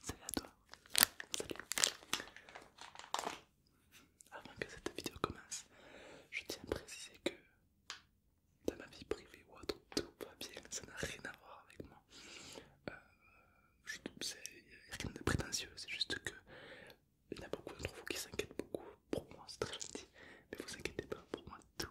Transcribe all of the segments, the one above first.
Salut à toi. Salut. Avant que cette vidéo commence, je tiens à préciser que dans ma vie privée ou tout va bien, ça n'a rien à voir avec moi. Euh, je a rien de prétentieux, c'est juste que il y en a beaucoup d'entre vous qui s'inquiètent beaucoup. Pour moi, c'est très gentil, mais vous inquiétez pas, pour moi, tout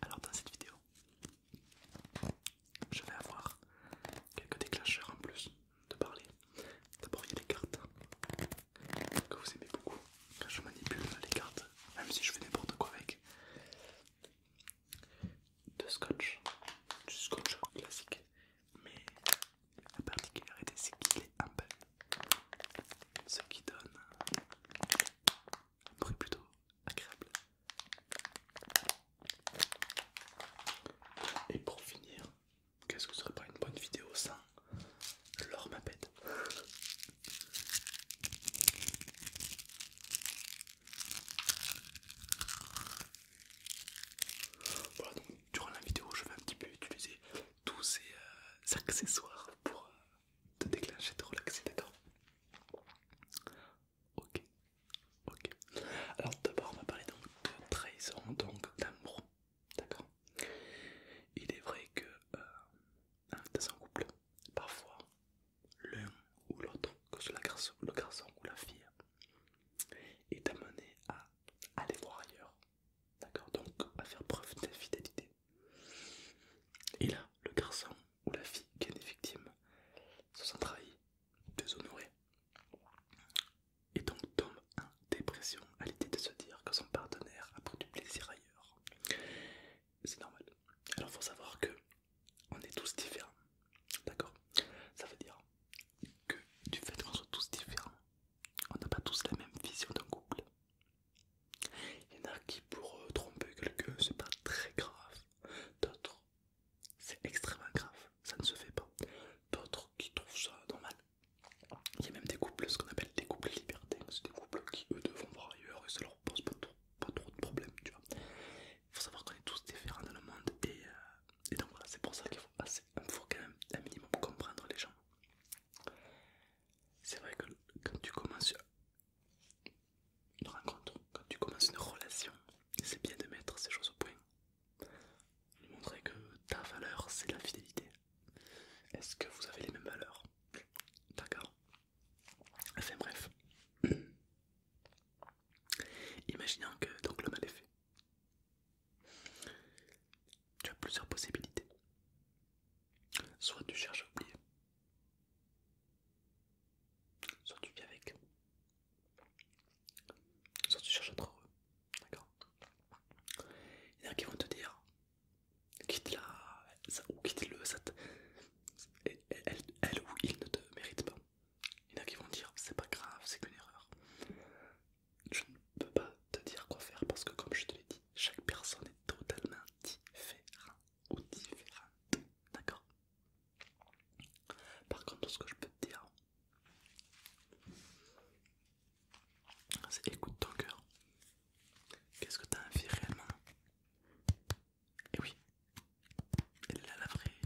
Alors dans cette vidéo, je vais avoir quelques déclencheurs en plus de parler. D'abord il y a les cartes que vous aimez beaucoup quand je manipule les cartes, même si je fais n'importe quoi avec. De scotch, du scotch classique, mais la particularité c'est qu'il est peu ce qui donne un bruit plutôt agréable. Et pour finir, qu'est-ce que ce serait pas une bonne vidéo sans l'or Voilà donc durant la vidéo je vais un petit peu utiliser tous ces euh, accessoires pour euh, te déclencher, te relaxer, d'accord Ok, ok. Alors d'abord on va parler donc de trahison, donc d'amour, d'accord Il est vrai que euh, dans un couple, parfois l'un ou l'autre, que ce soit le garçon ou la fille, est amené à aller voir ailleurs, D'accord Donc, à faire preuve d'infidélité. Et là, le garçon ou la fille qui est est victime se sent trahi, déshonoré, et donc tombe en dépression à l'idée de se dire que son partenaire a pris du plaisir ailleurs. C'est normal. Alors, faut savoir que on est tous différents. D'accord Ça veut dire que du fait qu'on soit tous différents, on n'a pas tous la même vision d'un couple. Il y en a qui, pour euh, tromper quelqu'un, c'est pas très grave. D'autres, c'est extrêmement grave, ça ne se fait pas. D'autres qui trouvent ça normal. Il y a même des couples, ce qu'on appelle des couples libertés. c'est des couples qui eux devront voir ailleurs et ça leur pose pas trop, de problèmes, tu vois. Il faut savoir qu'on est tous différents dans le monde et, euh, donc voilà, c'est pour ça qu'il faut, faut quand même un minimum comprendre les gens. C'est vrai que quand tu commences une rencontre, quand tu commences une relation, c'est bien de mettre ces choses au point. montrer que ta valeur, c'est la fidélité. Est-ce que vous avez les mêmes valeurs D'accord. Enfin bref. Imaginons que donc mal est fait. Tu as plusieurs possibilités. Soit tu cherches à oublier, soit tu vis avec, soit tu cherches à être heureux. D'accord Il y en a qui vont te dire quitte-la ou quitte-le, elle, ou il ne te mérite pas. Il y en a qui vont dire c'est pas grave, c'est qu'une erreur je ne peux pas te dire quoi faire parce que comme je te l'ai dit, chaque personne est totalement différente ou différente. D'accord Par contre, tout ce que je peux te dire, c'est écoute ton cœur. Qu'est-ce que tu as envie réellement eh Et oui, la vraie,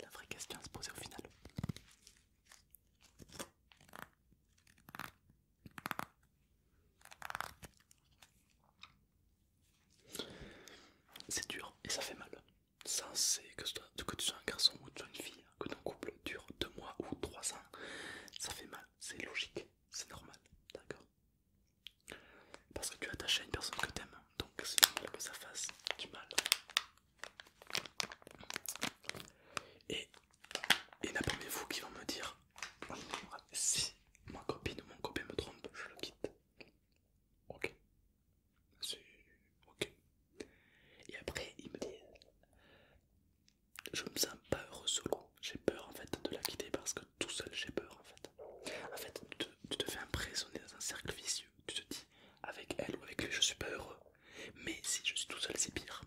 la vraie question à se poser au final. C'est dur et ça fait mal. Ça, c'est que, tu sois un garçon ou tu une fille, que ton couple dure deux mois ou trois ans, ça fait mal. C'est logique, c'est normal, d'accord Parce que tu es attaché à une personne que tu aimes donc c'est normal que ça fasse du mal. Et il y vous qui vont me dire si ma copine ou mon copain me trompe, je le quitte. Ok. C'est ok. Et après, il me dit je me sens pas heureux solo. J'ai peur en fait de la quitter parce que tout seul j'ai peur en fait. En fait, tu te, fais emprisonner dans un cercle vicieux. Tu te dis avec elle ou avec lui, je suis pas heureux. Mais si je suis tout seul, c'est pire.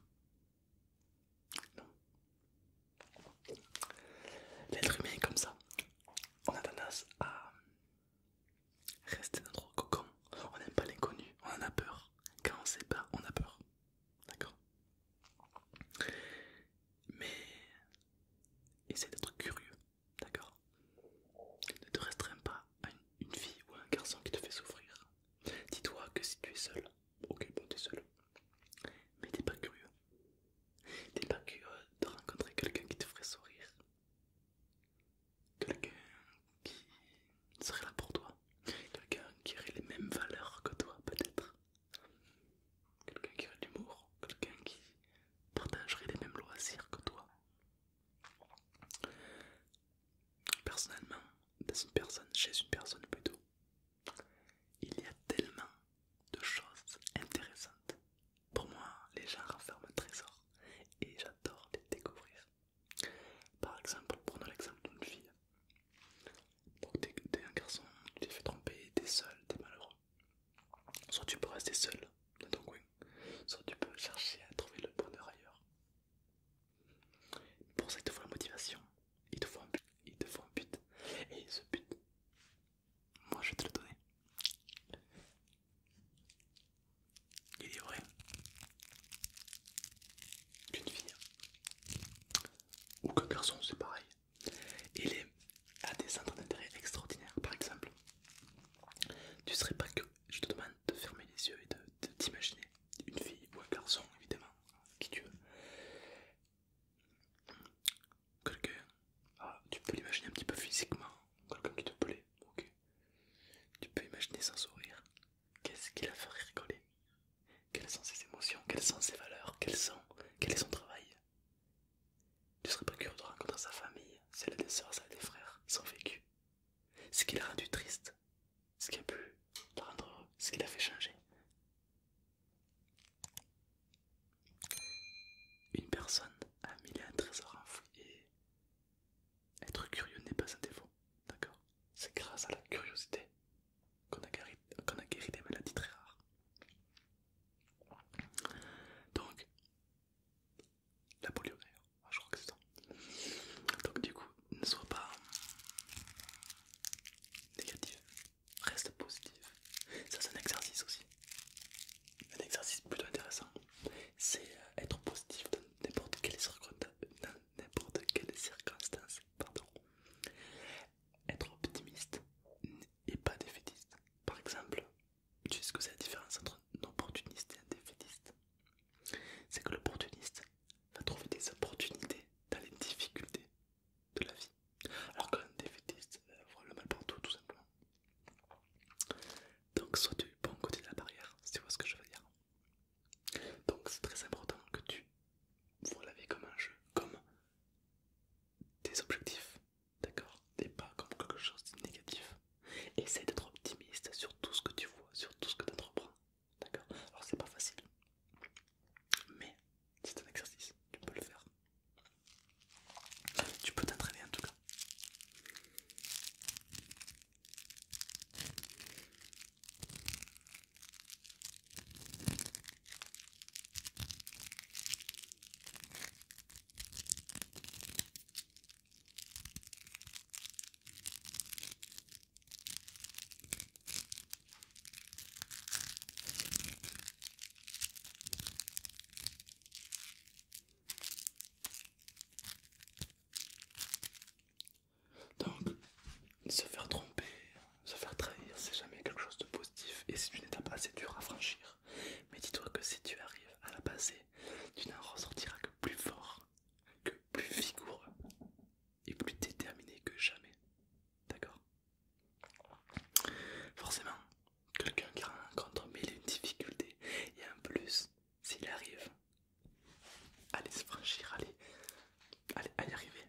Non. L'être humain est comme ça. On a tendance à rester dans notre cocon. On n'aime pas l'inconnu, on en a peur. Quand on ne sait pas, on a peur. D'accord Mais essaie d'être curieux, d'accord Ne te restreins pas à une, fille ou un garçon qui te fait souffrir. Dis-toi que si tu es seul, ok bon t'es seul, mais t'es pas curieux. T'es pas curieux de rencontrer quelqu'un qui te ferait sourire. Quelqu'un qui serait là pour toi. Quelqu'un qui aurait les mêmes valeurs que toi peut-être. Quelqu'un qui aurait de l'humour. Quelqu'un qui partagerait les mêmes loisirs que toi personnellement, dans une personne, chez une personne plutôt, il y a tellement de choses intéressantes. Pour moi, les gens renferment trésor et j'adore les découvrir. Par exemple, prenons l'exemple d'une fille. Donc, t'es un garçon, tu t'es fait tromper, t'es seul, t'es malheureux. Soit tu peux rester seul dans ton coin, soit tu peux chercher à trouver le bonheur ailleurs. Pour ça, il te faut la motivation, il te faut un but, but. Et ce but, moi je vais te le donner. Il est vrai qu'une fille ou qu'un garçon, c'est pareil. Il est à des centres d'intérêt extraordinaires. Par exemple, tu serais pas que, je te demande, de fermer les yeux et de t'imaginer une fille ou un garçon, évidemment, qui tu veux. Quelqu'un, ah, tu peux l'imaginer un petit peu physiquement, quelqu'un qui te plaît, ok. Tu peux imaginer son sourire. Qu'est-ce qui la ferait rigoler Quelles sont ses émotions Quelles sont ses valeurs Quelles sont Quel est son travail Tu serais pas curieux de rencontrer sa famille, celle des soeurs, celle des frères, son vécu, ce qui l'a rendu triste, ce qui a pu la rendre ce qui l'a fait changer. Une personne a mis un trésor enfoui et être curieux n'est pas un défaut, d'accord C'est grâce à la curiosité qu'on a, qu'on a guéri des maladies très rares. Donc, la polio ah, je crois que c'est ça. Donc du coup, ne sois pas négatif, reste positif. Ça c'est un exercice aussi. Un exercice plutôt intéressant, c'est euh, être positif dans n'importe quelle circonstance. pardon. Être optimiste et pas défaitiste. Par exemple, tu sais ce que c'est la différence entre un opportuniste et un défaitiste c'est que l'opportuniste va trouver des opportunités dans les difficultés de la vie. Alors qu'un défaitiste voit le mal partout, tout simplement. Donc, sois du bon côté de la barrière, si tu vois ce que je veux dire. Donc, c'est très important que tu vois la vie comme un jeu, comme des objectifs, d'accord Et pas comme quelque chose de négatif. essaye d'être optimiste sur tout ce que tu vois, sur tout ce que tu entreprends. D'accord Alors c'est pas facile, mais c'est un exercice, tu peux le faire. Tu peux t'entraîner en tout cas. Donc, se faire tromper, se faire trahir, c'est jamais quelque chose de positif et c'est une étape assez dure à franchir. Mais dis-toi que si tu arrives à la passer, tu n'en ressortiras que plus fort que plus vigoureux et plus déterminé que jamais. D'accord Forcément, quelqu'un qui rencontre mille difficultés et en plus, s'il arrive à se franchir, à, y arriver,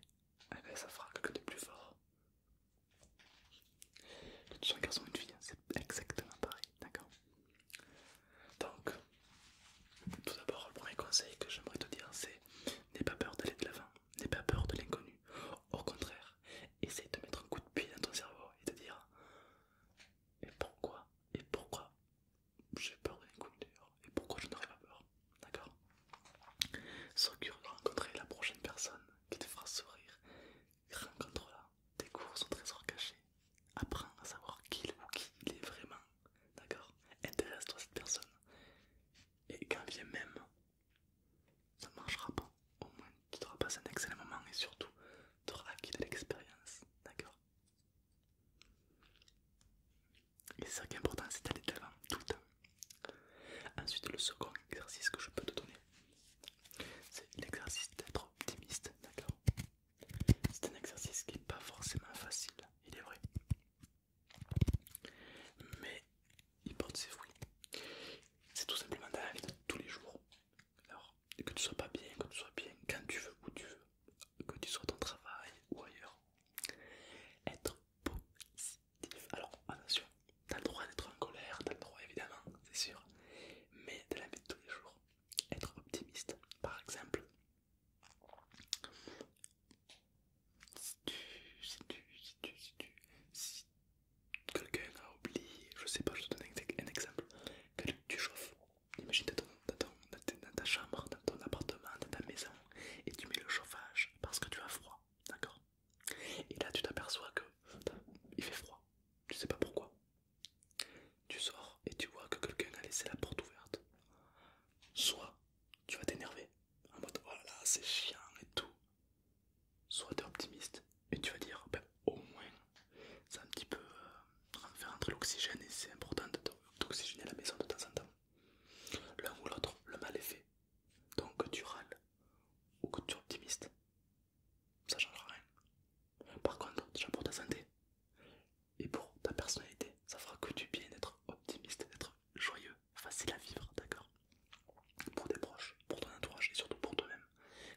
eh ben, ça fera quelque de plus fort. un garçon une fille, hein, c'est exactement pareil, d'accord donc, tout d'abord, le premier conseil que j'aimerais te dire, c'est n'aie pas peur d'aller de l'avant, n'aie pas peur de l'inconnu. Au contraire, essaye de mettre un coup de pied dans ton cerveau et de dire Et pourquoi Et pourquoi J'ai peur de l'inconnu d'ailleurs. Et pourquoi je n'aurais pas peur D'accord S'occupe de rencontrer la prochaine personne qui te fera sourire. Rencontre-la, découvre son trésor caché apprends à savoir qui il est ou qui il est vraiment, d'accord Intéresse-toi cette personne. Et quand vient même, ça ne marchera pas. Au moins, tu auras passé un excellent moment et surtout, tu auras acquis de l'expérience, d'accord Et c'est ça qui est important, c'est d'aller de l'avant tout le temps. Ensuite, le second exercice que je peux te donner, c'est l'exercice d'être optimiste, d'accord c'est un exercice qui n'est pas forcément facile, il est vrai. Mais il porte ses fruits. C'est tout simplement dans la vie de tous les jours. Alors, que tu sois pas bien, que tu sois bien, quand tu veux, où tu veux, que tu sois dans ton travail ou ailleurs. Être positif. Alors, attention, t'as le droit d'être en colère, t'as le droit évidemment, c'est sûr. Mais de la vie de tous les jours, être optimiste. Par exemple, si tu, si tu, si tu, si quelqu'un a oublié, je sais pas, je te donne un, exemple, tu chauffes, imagine dans, dans ta chambre, dans ton appartement, dans ta maison, et tu mets le chauffage parce que tu as froid, d'accord Et là tu t'aperçois que il fait froid, tu sais pas pourquoi, tu sors et tu vois que quelqu'un a laissé la porte ouverte. Soit tu vas t'énerver, en mode voilà, oh c'est chiant et tout. Soit tu es optimiste et tu vas dire ben, au moins, c'est un petit peu euh, faire l'oxygène et c'est important d'oxygéner la maison de temps en temps. L'un ou l'autre, le mal est fait. Donc que tu râles ou que tu es optimiste, ça change rien. Par contre, déjà pour ta santé, et pour ta personnalité. Ça fera que du bien d'être optimiste, d'être joyeux, facile à vivre, d'accord Pour tes proches, pour ton entourage et surtout pour toi-même.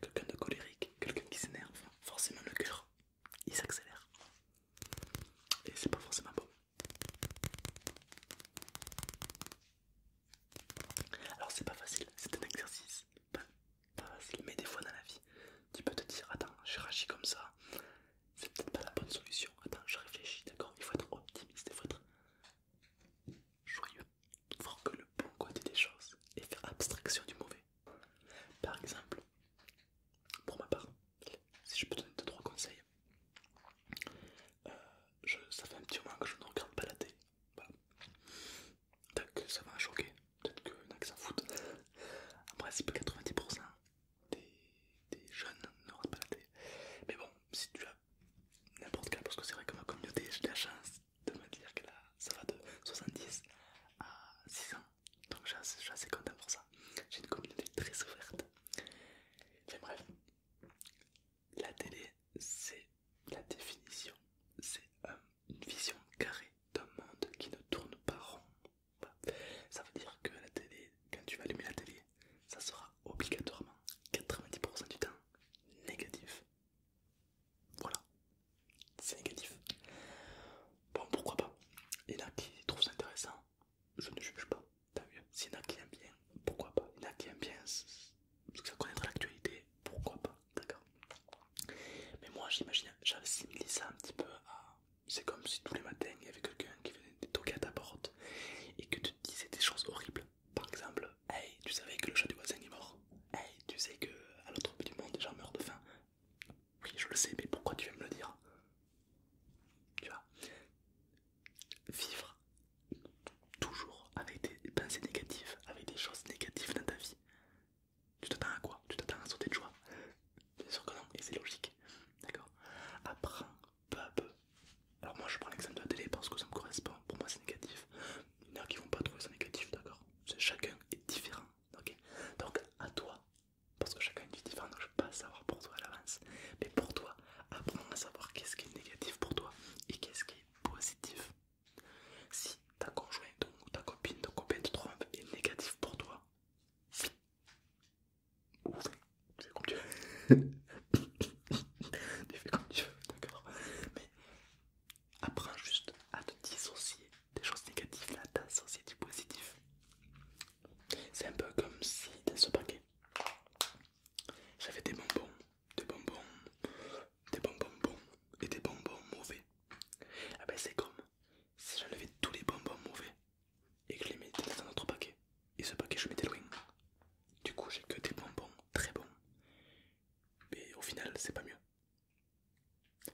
Quelqu'un de colérique, quelqu'un qui s'énerve, forcément le cœur, il s'accélère. Et c'est pas forcément bon. Alors c'est pas facile, c'est un exercice. Pas, facile, mais des fois dans la vie, tu peux te dire, attends, j'ai rachi comme ça, c'est peut-être pas la bonne solution. Attends, je réfléchis, d'accord Il faut être optimiste, il faut être joyeux, voir que le bon côté des choses et faire abstraction du mauvais. Par exemple, pour ma part, si je peux donner deux trois conseils, euh, je, ça fait un petit moment que je ne regarde pas la télé. Voilà. ça va choquer, peut-être que y en a qui s'en foutent. En principe, 90% des, jeunes ne rentrent pas la télé. Mais bon, si tu as n'importe quel, parce que c'est vrai que ma communauté, j'ai la chance de me dire que là, ça va de 70 à 6 ans. Donc je suis assez content pour ça. J'ai une communauté très ouverte. Enfin bref, la télé, c'est la définition, c'est euh, une vision carrée d'un monde qui ne tourne pas rond. Ça veut dire que la télé, quand tu vas allumer la télé, ça sera obligatoirement 90% du temps négatif. Voilà, c'est négatif. Bon, pourquoi pas Il y en a qui trouvent ça intéressant, je ne juge pas. Tant mieux. S'il y en a qui aiment bien, pourquoi pas Il y en a qui aiment bien parce que ça connaît l'actualité, pourquoi pas D'accord. Mais moi, j'imagine, j'assimile ça un petit peu à c'est comme si tous les matins il y avait quelqu'un qui venait toquer à ta porte et que tu te disais des choses horribles. Par exemple, hey, tu savais que le chat du voisin est mort. Hey, tu sais que à l'autre bout du monde, les gens meurent de faim. Oui, je le sais, mais pourquoi tu viens me le dire Tu vois Vivre toujours avec des pensées négatives, avec des choses négatives dans ta vie, tu t'attends à quoi Tu t'attends à sauter de joie C'est sûr que non, et c'est logique. D'accord Apprends peu à peu. Alors moi je prends l'exemple de la télé parce que ça me correspond, pour moi c'est négatif. Il y en a qui vont pas trouver ça négatif, d'accord Chacun est différent, ok Donc à toi, parce que chacun est différent, donc je vais pas savoir pour toi à l'avance. Mais pour toi, apprends à savoir qu'est-ce qui est négatif pour toi et qu'est-ce qui est positif. Si ta conjointe ou ta copine, ton copain te trompe est négatif pour toi, fais, comme tu veux. tu fais comme tu veux, d'accord Mais apprends juste à te dissocier des choses négatives, à t'associer du positif. C'est un peu comme si dans ce paquet, j'avais des bonbons, des bonbons, des bonbons bons et des bonbons mauvais. Ah ben c'est comme si j'enlevais tous les bonbons mauvais et que je les mets dans un autre paquet. Et ce paquet, je des loin. Du coup, j'ai que des bonbons très bons. Mais au final, c'est pas mieux.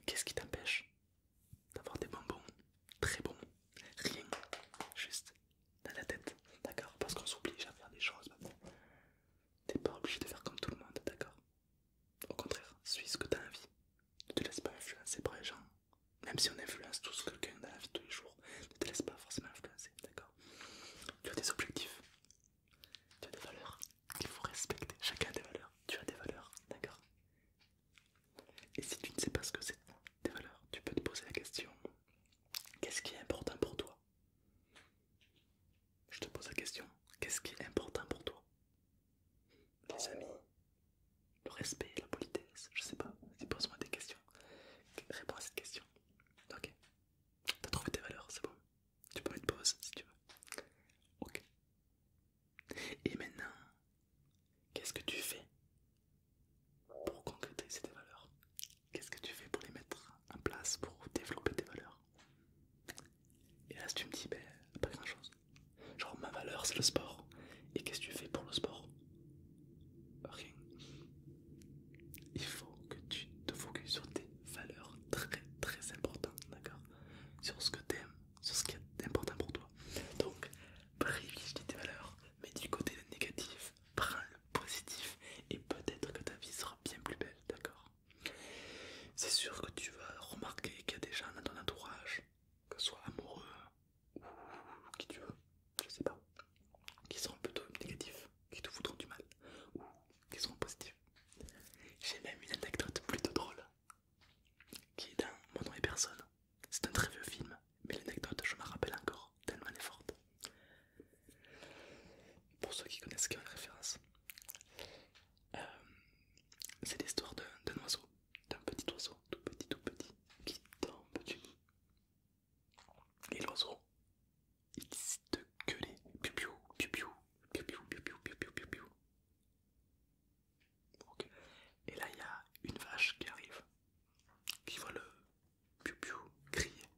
Qu'est-ce qui t'empêche d'avoir des bonbons très bons Rien, juste dans la tête, d'accord Parce qu'on s'oblige à faire des choses T'es pas obligé de faire comme tout le monde, d'accord Au contraire, suis ce que t'as envie. Ne te laisse pas influencer par les gens même si on influence tout ce que quelqu'un dans la vie tous les jours, ne te laisse pas forcément influencer, d'accord Tu as des objectifs, tu as des valeurs qu'il faut respecter, chacun a des valeurs, tu as des valeurs, d'accord Et si tu ne sais pas ce que c'est tes valeurs, tu peux te poser la question, qu'est-ce qui est important pour toi Je te pose la question, qu'est-ce qui est important pour toi les amis, le respect, la politesse, je sais pas, pose-moi des questions, réponds à cette question. Ok, t'as trouvé tes valeurs, c'est bon, tu peux mettre pause si tu veux. Ok, et maintenant, qu'est-ce que tu fais pour concrétiser tes valeurs Qu'est-ce que tu fais pour les mettre en place, pour développer tes valeurs Et là, si tu me dis, ben, pas grand-chose. Genre ma valeur c'est le sport. Et qu'est-ce que tu fais pour le sport Rien. Il faut que tu te focuses sur tes valeurs très très importantes, d'accord Sur ce que aimes, sur ce qui est important pour toi. Donc privilégie tes valeurs, mais du côté négatif, prends le positif et peut-être que ta vie sera bien plus belle, d'accord c'est sûr que tu vas remarquer qu'il y a des gens dans ton entourage, que ce soit amoureux, ou qui tu veux, je sais pas, qui seront plutôt négatifs, qui te voudront du mal, ou qui seront positifs. J'ai même une anecdote plutôt drôle, qui est dans Mon nom et personne. C'est un très vieux film, mais l'anecdote je me rappelle encore, tellement elle est forte. Pour ceux qui connaissent qui une référence, euh, c'est l'histoire d'un oiseau d'un petit oiseau, tout petit, tout petit, qui tombe du nid. Et l'oiseau, il décide de gueuler. Piu piou piou piou piou, piou. piu ok Et là, il y a une vache qui arrive, qui voit le piou crier,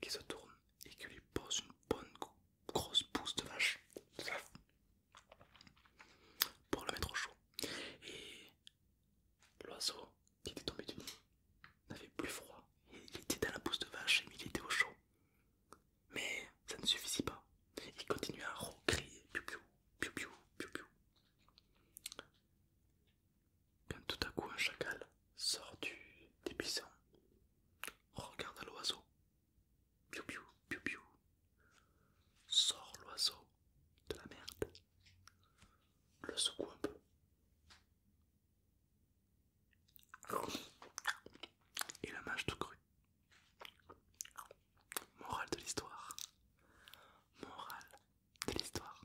qui se tourne et qui lui pose une bonne grosse pousse de vache pour le mettre au chaud. Et l'oiseau qui était tombé du nid n'avait plus froid. Il était dans la pousse de vache et il était au chaud. Mais ça ne suffisait pas. Il continuait à recrier piou piou, piou piou, Quand tout à coup un chacal sort du, des regarde l'oiseau Piu piu piu Sors l'oiseau de la merde. Le secoue un peu. Et la mâche tout cru. Morale de l'histoire. Morale de l'histoire.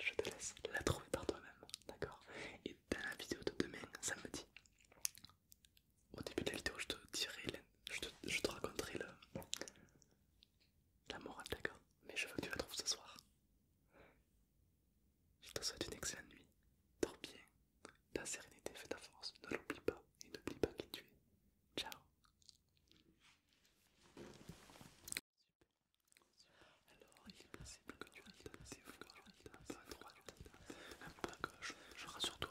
Je te laisse la trouver par toi-même, d'accord Et dans la vidéo de demain, samedi, au début de la vidéo, je te dirai, je te, raconterai la morale, d'accord Mais je veux que tu la trouves ce soir. Je te souhaite une excellente nuit. Dors bien. Ta sérénité fait ta force. Ne l'oublie pas et n'oublie pas qui tu es. Ciao. Alors, il est possible que tu gauche. Je rassure-toi,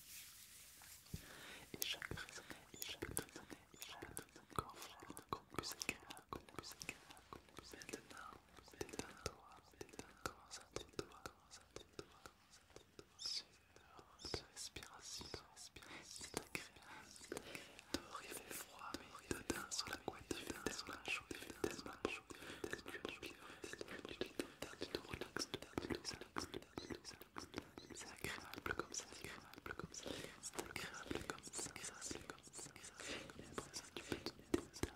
Et chaque chaque chaque plus agréable, Maintenant, détends-toi, et toi chaque respiration, c'est agréable, il fait froid, mais sur la couette, chaque tellement chaud, chaque c'est agréable comme ça, c'est agréable comme ça, c'est agréable comme ça, c'est agréable comme ça, c'est agréable comme ça,